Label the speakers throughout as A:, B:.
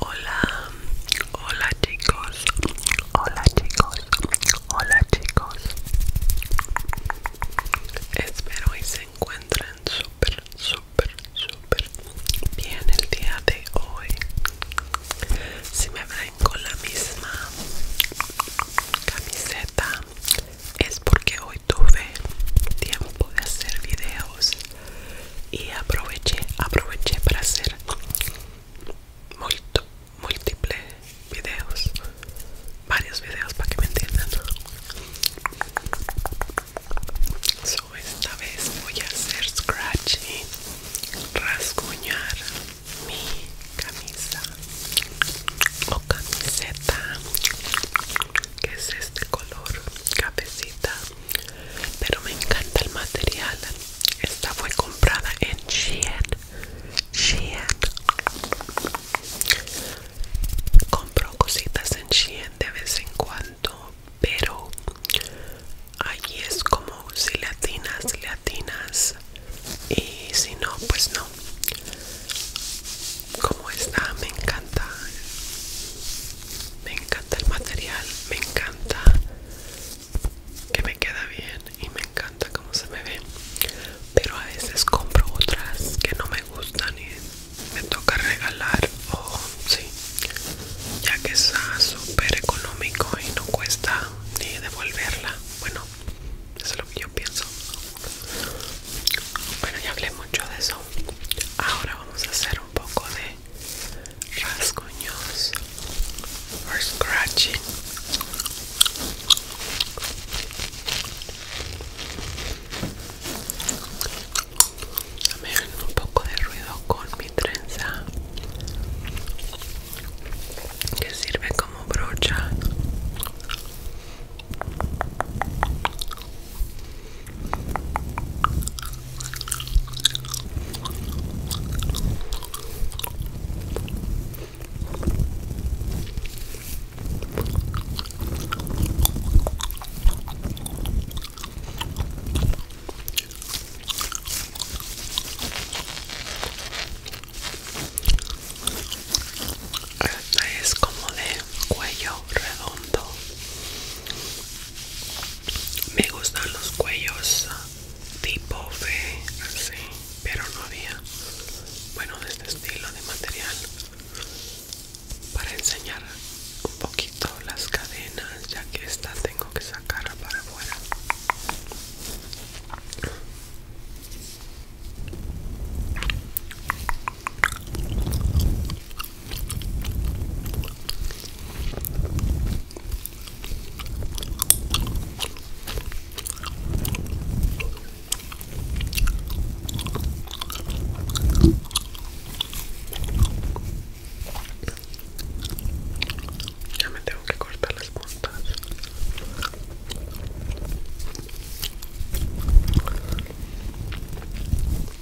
A: Hola, hola chicos, hola chicos, hola chicos. Espero y se encuentren súper, súper, súper bien el día de hoy. Si me ven con la misma camiseta es porque hoy tuve tiempo de hacer videos y aproveché, aproveché para hacer múltiples videos, varios videos para que me entiendan. esta vez voy a hacer scratch y rasguñar mi camisa o camiseta que es este color cafecita pero me encanta el material esta fue comprada en Shein compro cositas en Shein de vez en cuando pero allí es como si le atinas, le atinas y si no pues no como está? me encanta me encanta el material me encanta que me queda bien y me encanta cómo se me ve pero a veces compro otras que no me gustan y me toca regalar o sí ya que es súper económico y no cuesta ni devolverla bueno eso es lo que yo pienso bueno ya hablé mucho de eso ahora vamos a hacer un poco de rasguños o scratching también un poco de ruido con mi trenza que sirve como brocha es como de cuello redondo me gustan los cuellos ah, tipo V, así, pero no había, bueno, de este estilo de material para enseñar un poquito las cadenas, ya que esta tengo que sacar para afuera. Ya me tengo que cortar las puntas.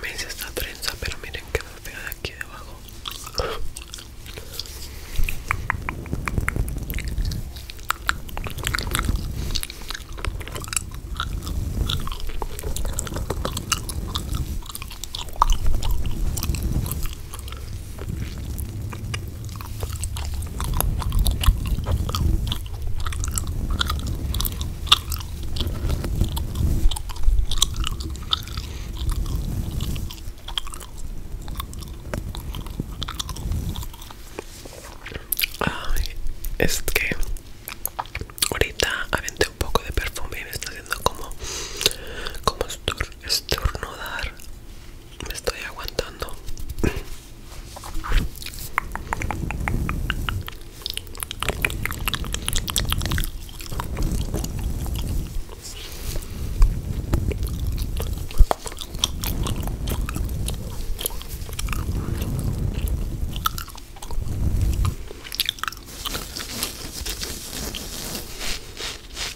A: Me hice esta trenza, pero miren que me pega de aquí debajo es que ahorita aventé un poco de perfume y me está haciendo como como estornudar me estoy aguantando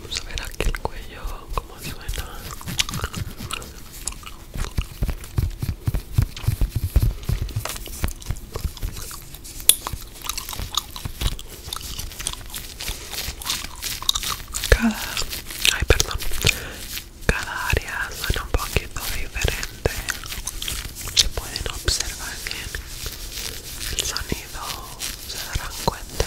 A: Vamos a ver aquí el cuello, cómo suena. Cada, ay perdón, cada área suena un poquito diferente. Se pueden observar bien el sonido, se darán cuenta.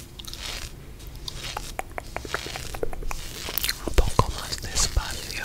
A: Un poco más despacio.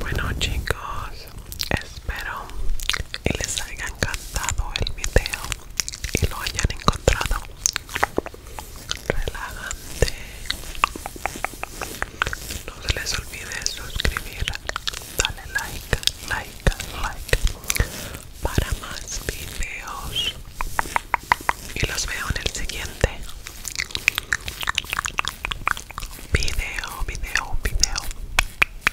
A: Bueno chicos, espero y les haya encantado el video y lo hayan encontrado relajante no se les olvide suscribir dale like like like para más videos y los veo en el siguiente video video video